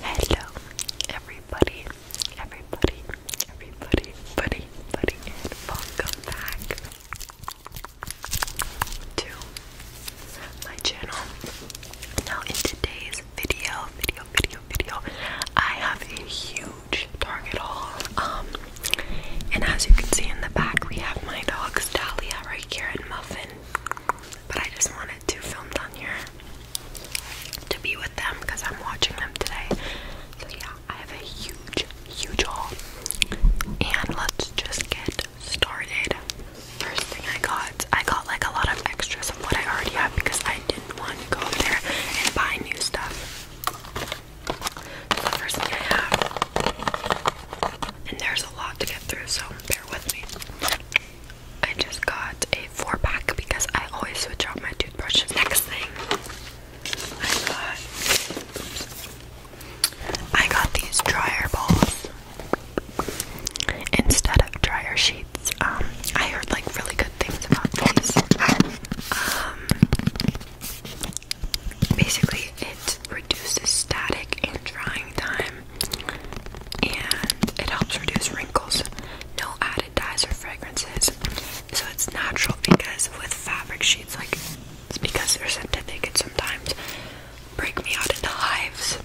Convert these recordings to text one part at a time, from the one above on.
Hello, everybody, everybody, everybody, buddy, buddy, and welcome back to my channel. Now, in today's video, video, video, video, I have a huge Target haul. Um, and as you can see in the back, we have my dogs, Dahlia right here, and Muffin but I just wanted to film down here to be with them because I'm watching them today. So yeah, I have a huge, huge haul, and let's just get started. First thing I got, I got like a lot of extras of what I already have because I didn't want to go up there and buy new stuff. So first thing I have, and there's a lot to get through, so bear with me. I just got a four pack because I always switch out my toothbrushes. Next thing I got, I got these dryer balls instead of dryer sheets. Um, I heard like really good things about these. Um, basically, it reduces static and drying time and it helps reduce wrinkles. No added dyes or fragrances. So it's natural because with fabric sheets, like it's because they're synthetic, it sometimes break me out into hives.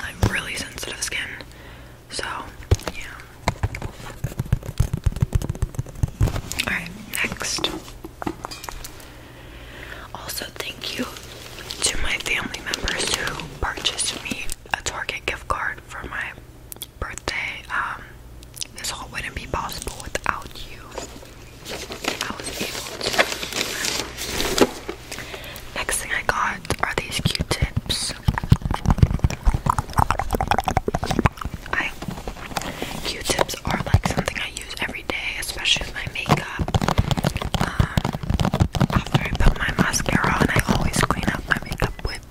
I am really sensitive skin. So, yeah. Alright, next. Also, thank you to my family members who purchased me a Target gift card for my birthday. Um, this all wouldn't be possible without you. I was able Next thing I got are these Q-tips. I Q-tips are like something I use every day, especially with my makeup. Um, after I put my mascara on, I always clean up my makeup with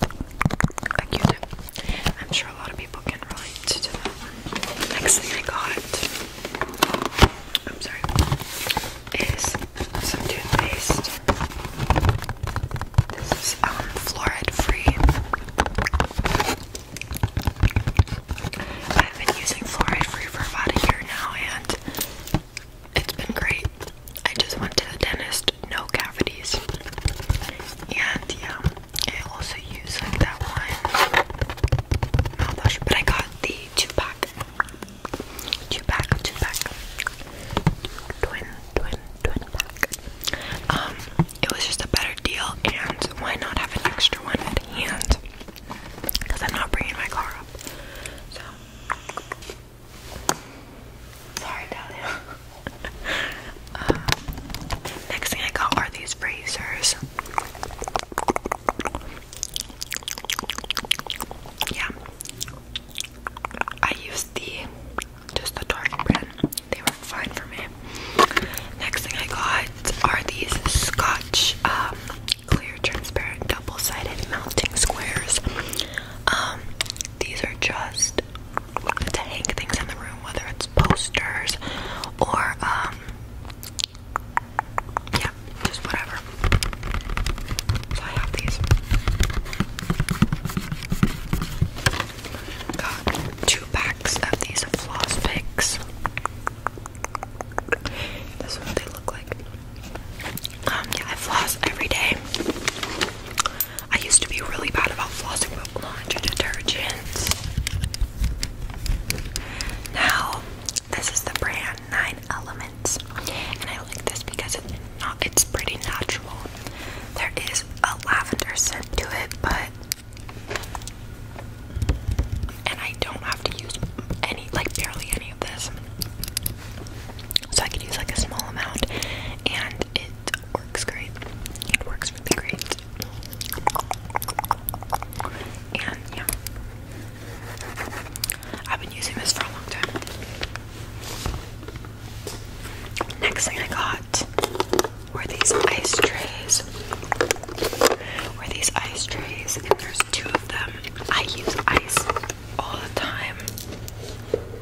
a Q-tip. I'm sure a lot of people can relate to that. Next thing I got, I'm sorry, is some toothpaste. This is um, fluoride free. I've been using fluoride free for about a year now, and it's been great. I just went to the dentist, no cavities. And yeah, I also use like that one but I got the two pack. Two pack, two pack. Twin, twin, twin pack. Um, it was just a better deal, and why not have an extra one at Because I'm not bringing my car up. So Sorry, Talia. Um, next thing I got are these razors. Yeah, I used the just the dark brand. They were fine for me. Next thing I got are these Scotch um, clear, transparent, double-sided mounting squares. Um, these are just to hang things in the room, whether it's posters or um, yeah, just whatever. So I have these. Got two packs of these floss picks. This is what they look like. Um, yeah, I floss every day. I used to be really bad about flossing with laundry detergents. Now, this is the brand Nine Elements, and I like this because it's not it's pretty natural. There is a lavender scent to it, but and I don't have to use any like barely any of this. So I could use like a small amount and it works great. It works really great. And yeah. I've been using this for a long time. Next thing I got were these ice trays. Were these ice trays and there's two of them. I use ice all the time.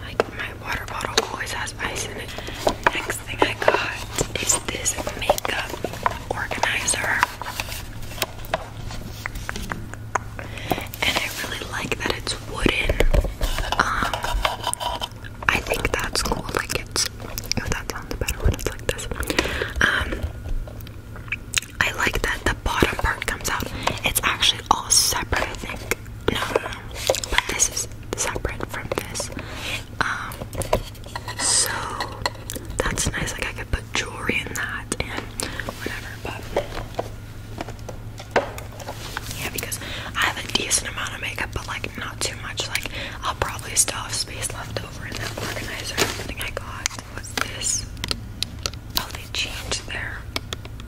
Like my water bottle always has ice in it. Next thing I got is this makeup organizer. And I really like that it's wooden. Um I think that's cool. Like it's that sounds better when it's like this. Um I like that the bottom part comes out. It's actually all separate, I think. No, But this is separate from this. Um, so that's nice. Like I could put jewelry in that and whatever. But yeah, because I have a decent amount of makeup, but like not too much. Like I'll probably still have space left over in that organizer. Everything I got. What was this? Oh, they changed their.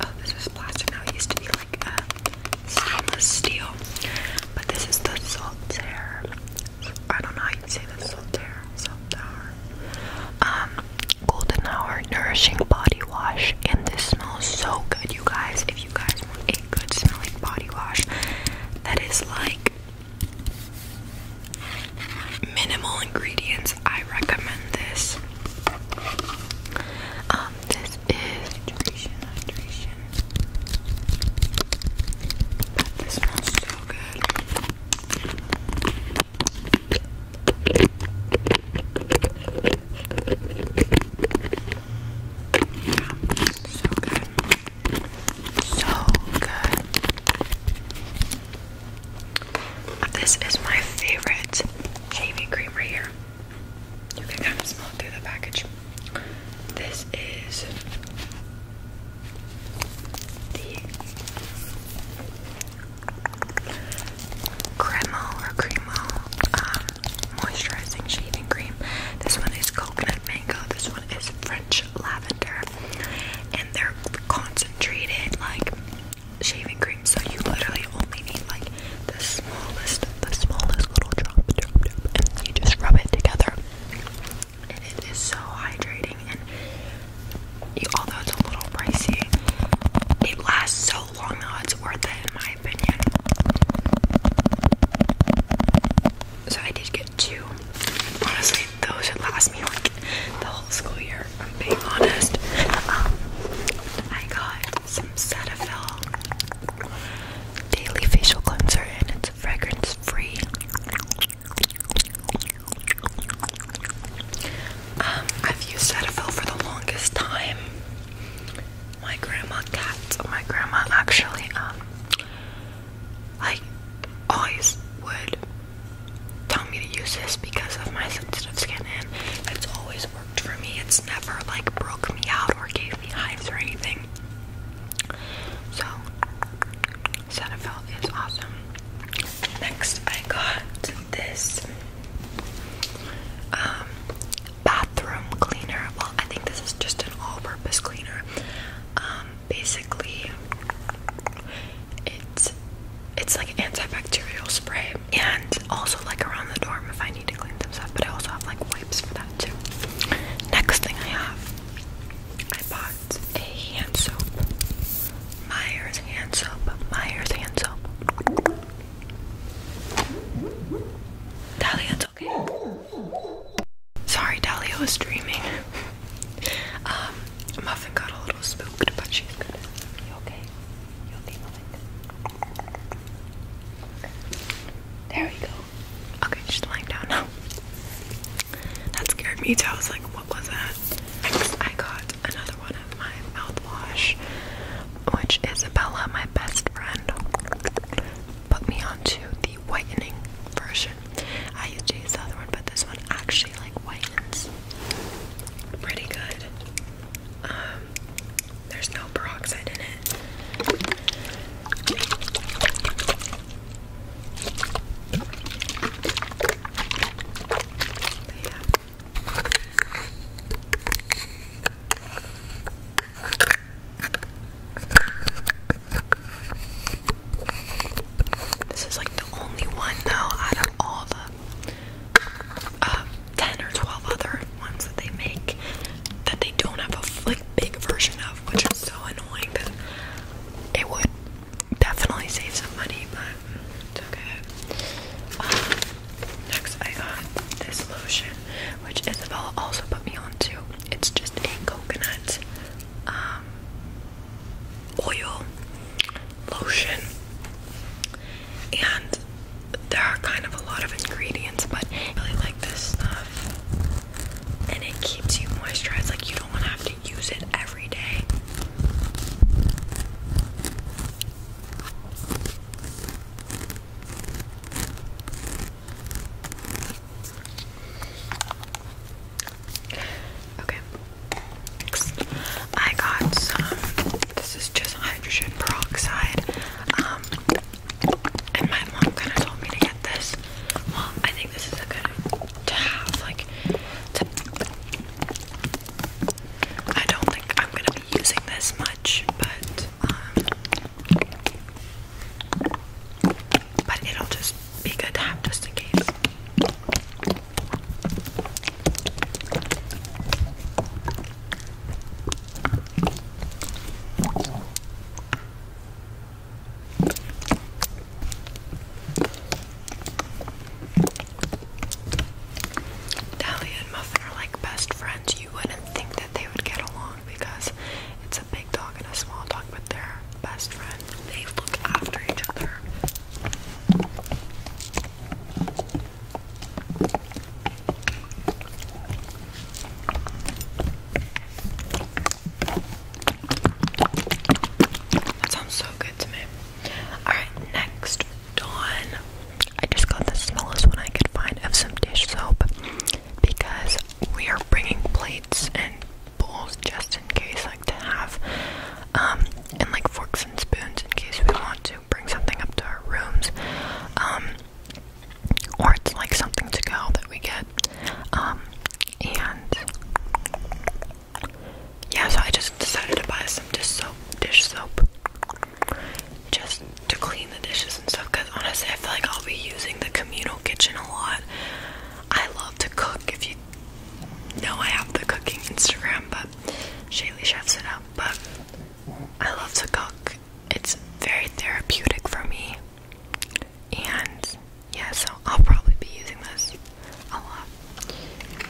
Oh, this was plastic now. It used to be like a uh, stainless steel. But this is the Solitaire. I don't know how you say the Solitaire. Solitaire. Um, Golden Hour Nourishing Body Wash. And this smells so good, you guys. If you guys want a good smelling body wash that is like Minimal ingredients. I recommend this. Um, this is hydration, hydration. But this smells so good. Yeah, so good. So good. This is my favorite shaving cream right here. You can kind of smell it through the package. This is the Cremo or Cremo um, moisturizing shaving cream. This one is coconut mango. This one is French lavender, and they're concentrated like shaving cream, so you literally only need like the smallest, the smallest little drop, drop, drop, and you just rub it together. And it is so hydrating, and although it's a little pricey, it lasts so long that it's worth it in my opinion. So I did get two. Honestly, those should last me like the whole school year. I'm being honest. Um, I got some Cetaphil daily facial cleanser, and it's fragrance free. Um, I've used Cetaphil for the longest time. My grandma cat, my grandma actually, um, like always would tell me to use this because of my sensitive skin, and it's always worked for me. It's never like broke me out or gave me hives or anything. So, Cetaphil is awesome. Next, I got this um, bathroom cleaner. Well, I think this is just an all-purpose cleaner. Um, basically, it's it's like antibacterial spray and also like around the dorm if I need to clean things up. but I also have like wipes for that too. Next thing I have, I bought a hand soap. Myers hand soap. Myers hand soap. Dahlia, okay. Sorry, Dahlia was dreaming. um, Muffin got a little spooked, but she's good. You okay? You okay, Muffin? There we go. Okay, she's lying down now. That scared me too. I was like, what was that? I got another one of my mouthwash, which Isabella, my best friend, put me onto the whitening version. I used to use the other one, but this one actually like whitens pretty good. Um, there's no peroxide in it. This is like the only one though out of all the uh, 10 or 12 other ones that they make that they don't have a like big version of, which is so annoying But it would definitely save some money, but it's okay. Um, next I got this lotion, which Isabella also put me on too. It's just a coconut um oil, lotion, and there are kind of a lot of ingredients, but I really like this stuff. And it keeps you moisturized, like you don't want to have to use it every day. Okay. Next, I got some. This is just hydrogen peroxide. Um, and my mom kind of told me to get this. Well, I think this is a good to have. Like, to, I don't think I'm gonna be using this much, but um, but it'll just be good have just in case. Dally and Muffin are like best friends. You wouldn't think that they would get along because it's a big dog and a small dog, but they're best friend. They look after each other. That sounds so good to me. Alright, next, Dawn. I just got the smallest one I could find of some dish soap because we are bringing plates and bowls just in case, like to have, um, and like forks and spoons in case we want to bring something up to our rooms, um, or it's like something to go that we get, um, and yeah, so I just decided to buy some dish soap, dish soap, just to clean the dishes and stuff. Cause honestly, I feel like I'll be using the communal kitchen a lot. I love to cook. If you no, I have the cooking Instagram, but Shaylee chefs it up. But I love to cook. It's very therapeutic for me. And yeah, so I'll probably be using this a lot.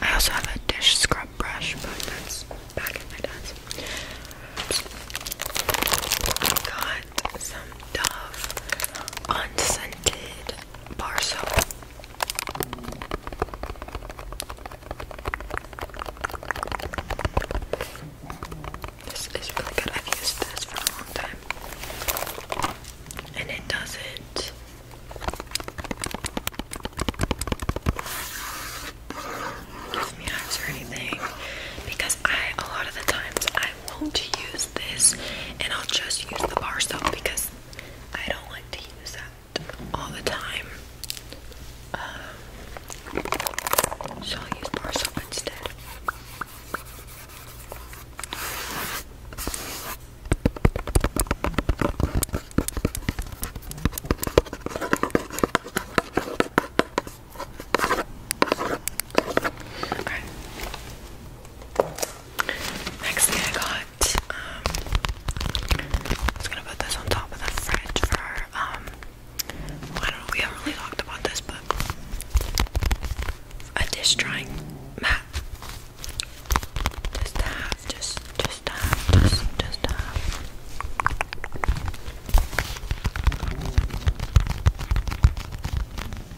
I also have a dish scrub brush, but that's back in my desk. got some Dove unscented bar soap. This is really good. I've used this for a long time. And it doesn't give me hives or anything because I a lot of the times I won't use this and I'll just use the bar soap because I don't like to use that all the time. Um, so I'll use Marcel instead. Okay. Next thing I got I'm um, gonna put this on top of the fridge for, um, I don't know, we haven't really talked about this, but a dish drying mat. Just to just, just to just, just to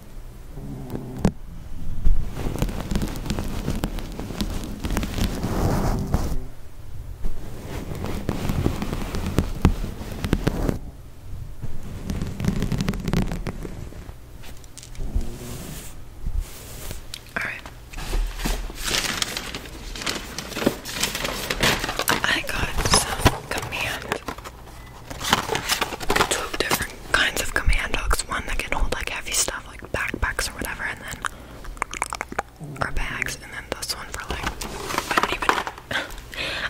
All right. I got some command two different kinds of command hooks. One that can hold like heavy stuff like backpacks or whatever, and then or bags, and then this one for like I don't even.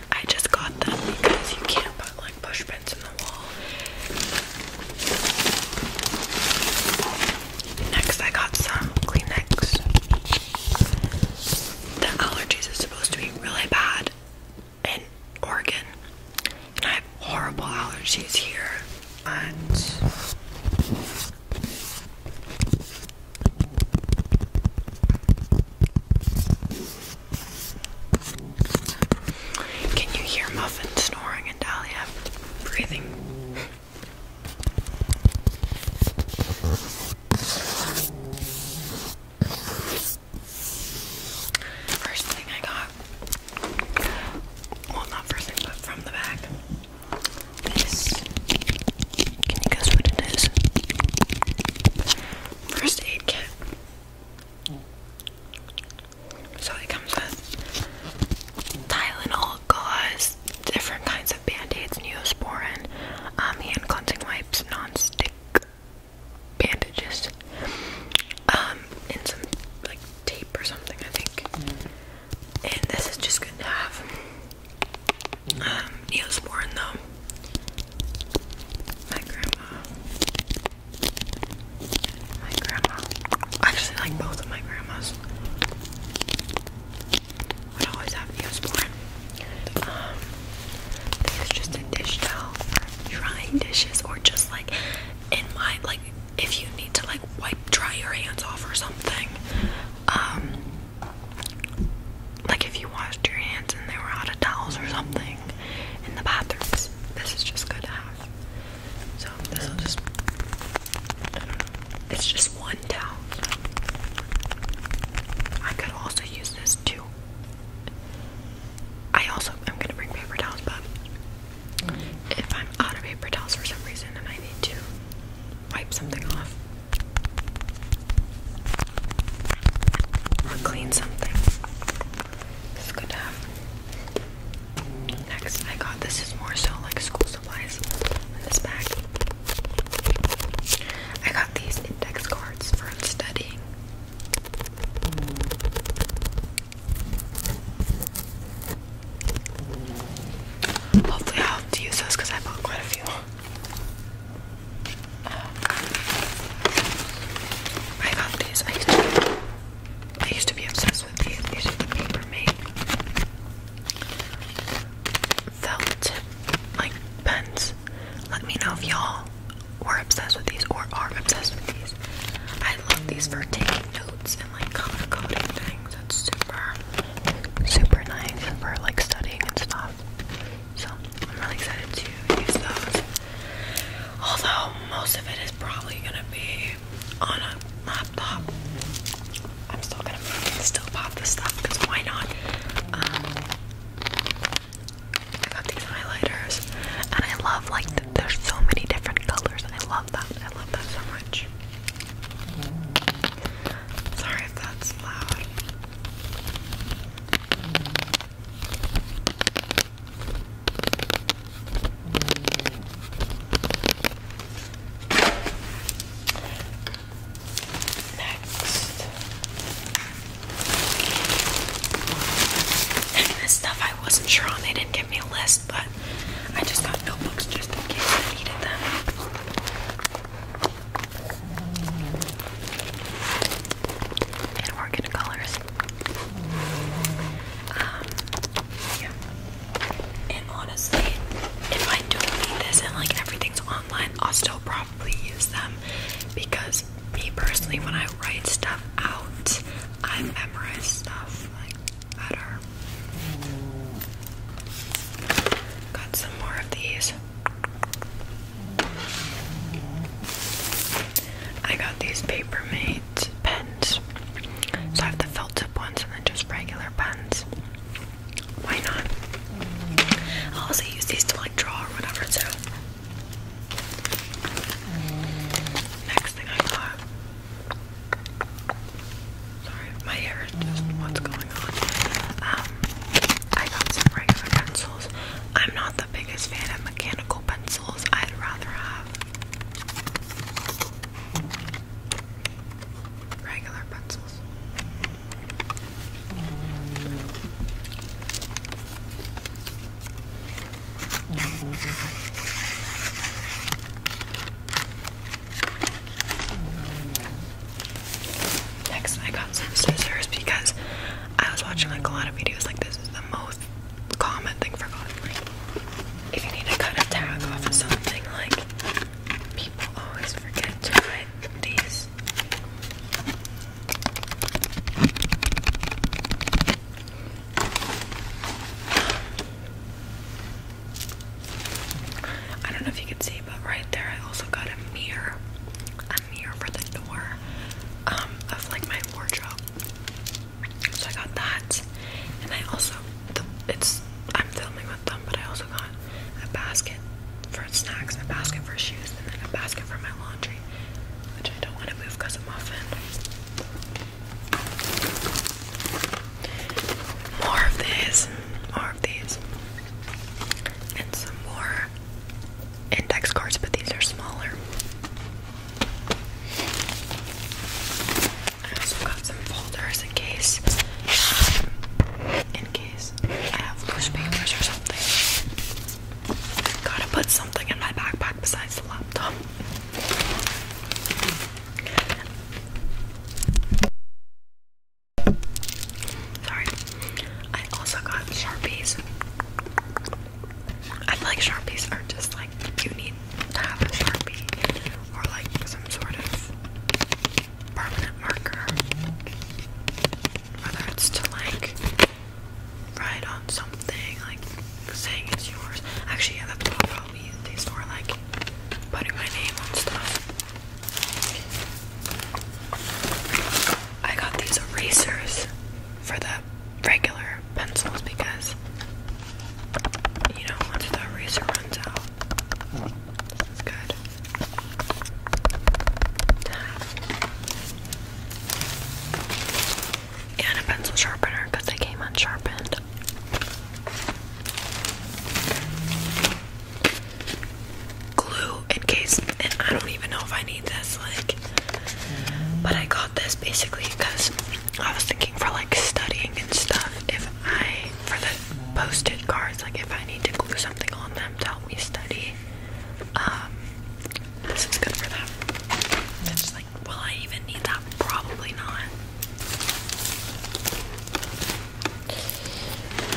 I just got them because you can't put like push pins in the wall. Next, I got some Kleenex. The allergies are supposed to be really bad in Oregon, and I have horrible allergies here. But can you hear Muffin snoring and Dahlia breathing? First thing I got, well, not first thing, but from the back. Can you guess what it is? First aid kit. So it comes with Tylenol, gauze, different kinds of band-aids, Neosporin, um, hand cleansing wipes, non-stick bandages, um, and some like tape or something, I think. And this is just good to have. Um, Neosporin though. My grandma. My grandma. Actually, like both of my grandmas. Would always have Neosporin. Um, I think it's just a dish towel for drying dishes or just like in my like if you need to like wipe dry your hands off or something um like if you washed your hands and they were out of towels or something in the bathrooms this is just good to have so this will just it's just one towel I could also use this too I also am gonna bring paper towels, but if I'm out of paper towels for some reason and I need to wipe something off or clean something, this is good to have. Next, I got this is more so like school supplies in this bag. I got these index cards for studying. Hopefully, I'll have to use those because I bought quite a few. Um, I got these. I used to. I used to be obsessed with these. paper made felt like pens. Let me know if y'all we're obsessed with these or are obsessed with these. I love these for taking notes and like color coding things. It's super, super nice for like studying and stuff. So I'm really excited to use those. Although most of it is probably gonna be on a laptop. I'm still gonna still pop this stuff because why not? Um, I got these highlighters, and I love like there's so many different colors. I love that. I love that so much. Sorry if that's loud. Next, this stuff I wasn't sure on. They didn't give me a list, but I just got notebooks just in case I needed them. And organic colors. Um, yeah. And honestly, if I don't need this and like everything's online, I'll still probably use them because me personally, when I write stuff out, I memorize stuff like better. Got some more of these. I got these paper made pens. So I have the felt tip ones and then just regular pens. Why not? I'll also use these to like draw or whatever, so Next thing I got. Sorry, my hair what's mm. going on. Um, I got some regular pencils. I'm not the biggest fan of mechanical pencils. I'd rather have regular pencils. Mm. Next, I got some scissors because I was watching like a lot of videos like this is the most common thing for cotton. Like, if you need to cut a tag off of something, like people always forget to buy these. I don't know if you can see, but right there I also got a mirror. A mirror for the door um, of like my wardrobe. So I got that. And I also, the, it's, I'm filming with them, but I also got a basket for snacks, a basket for shoes, and then a basket for my laundry which I don't want to move because I'm often. More of these, more of these, and some more index cards, but these are smaller. I also got some folders in case, um, in case I have loose papers or something. Gotta put something in my backpack besides the laptop. Sorry. I also got Sharpies. I feel like Sharpies are just like you need to have a Sharpie or like some sort of permanent marker. Whether it's to like write on something like saying it's yours. Actually, yeah, that's what I'll probably use these for, like putting my name on stuff. I got these erasers for the regular pencils because you know once the eraser runs out, it's good and a pencil sharpener because they came unsharpened. Glue in case, and I don't even know if I need this, like, but I got this basically because I was thinking for like studying and stuff. If I, for the posted cards, like if I need to glue something on them to help me study, um, this is good for that. It's just like, will I even need that? Probably not.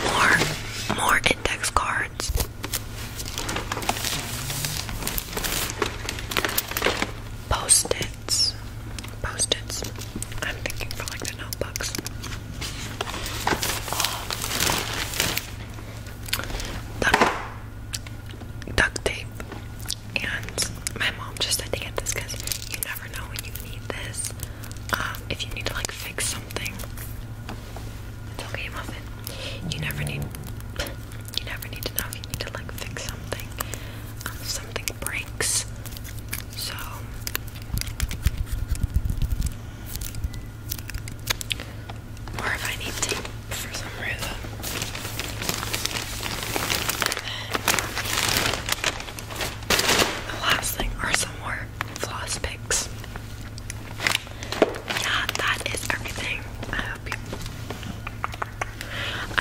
More, more index cards. Post-its. Post-its. I'm thinking for like the notebooks. The duct tape. And my mom just had to get this because you never know when you need this. Um, if you need to like fix something, it's okay, muffin. You never need. You never need to know if you need to like fix something. Um, something breaks. So or if I need tape for some reason. The last thing are some more floss picks. Yeah, that is everything. I hope you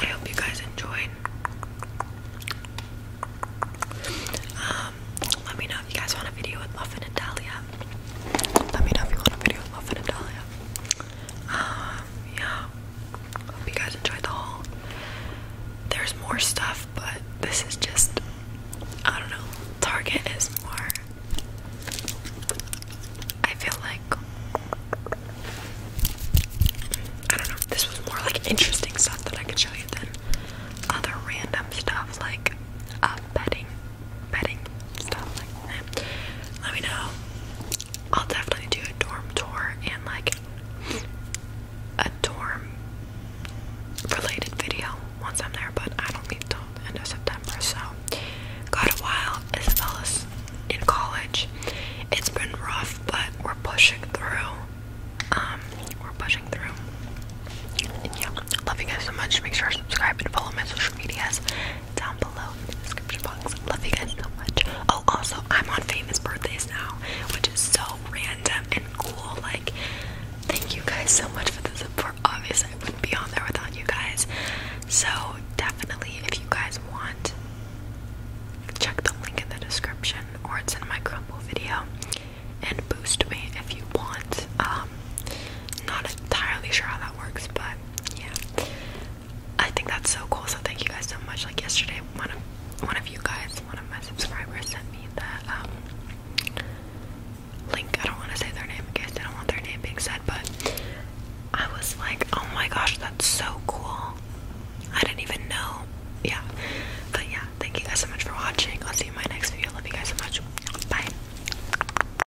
I hope you guys enjoyed. Um, let me know if you guys want a video with Muffin and Dahlia. Let me know if you want a video with Muffin and Dahlia. Um, yeah. Hope you guys enjoyed the haul. There's more stuff, but this is just I don't know. Target is more I feel like I don't know. This was more like interesting stuff that I could show you than other random stuff like a uh, bedding bedding stuff Let me know. I'll definitely do a dorm tour and like a dorm related video once I'm there, but I don't leave till the end of September, so got a while. Isabella's in college. It's been rough, but we're pushing through. Um, we're pushing through. love you guys so much. Make sure to subscribe and follow my social medias down below in the description box. Love you guys so much. Oh, also, I'm on famous birthdays now, which is so random and cool. Like, thank you guys so much for the support. Obviously, I wouldn't be on there without you guys. So, definitely, if you guys want, check the link in the description or it's in my crumble video and boost me if you want. Um, not entirely sure how that works, but yeah I think that's so cool so thank you guys so much like yesterday one of one of you guys one of my subscribers sent me that um, link I don't want to say their name in case they don't want their name being said but I was like oh my gosh that's so cool I didn't even know yeah but yeah thank you guys so much for watching I'll see you in my next video love you guys so much bye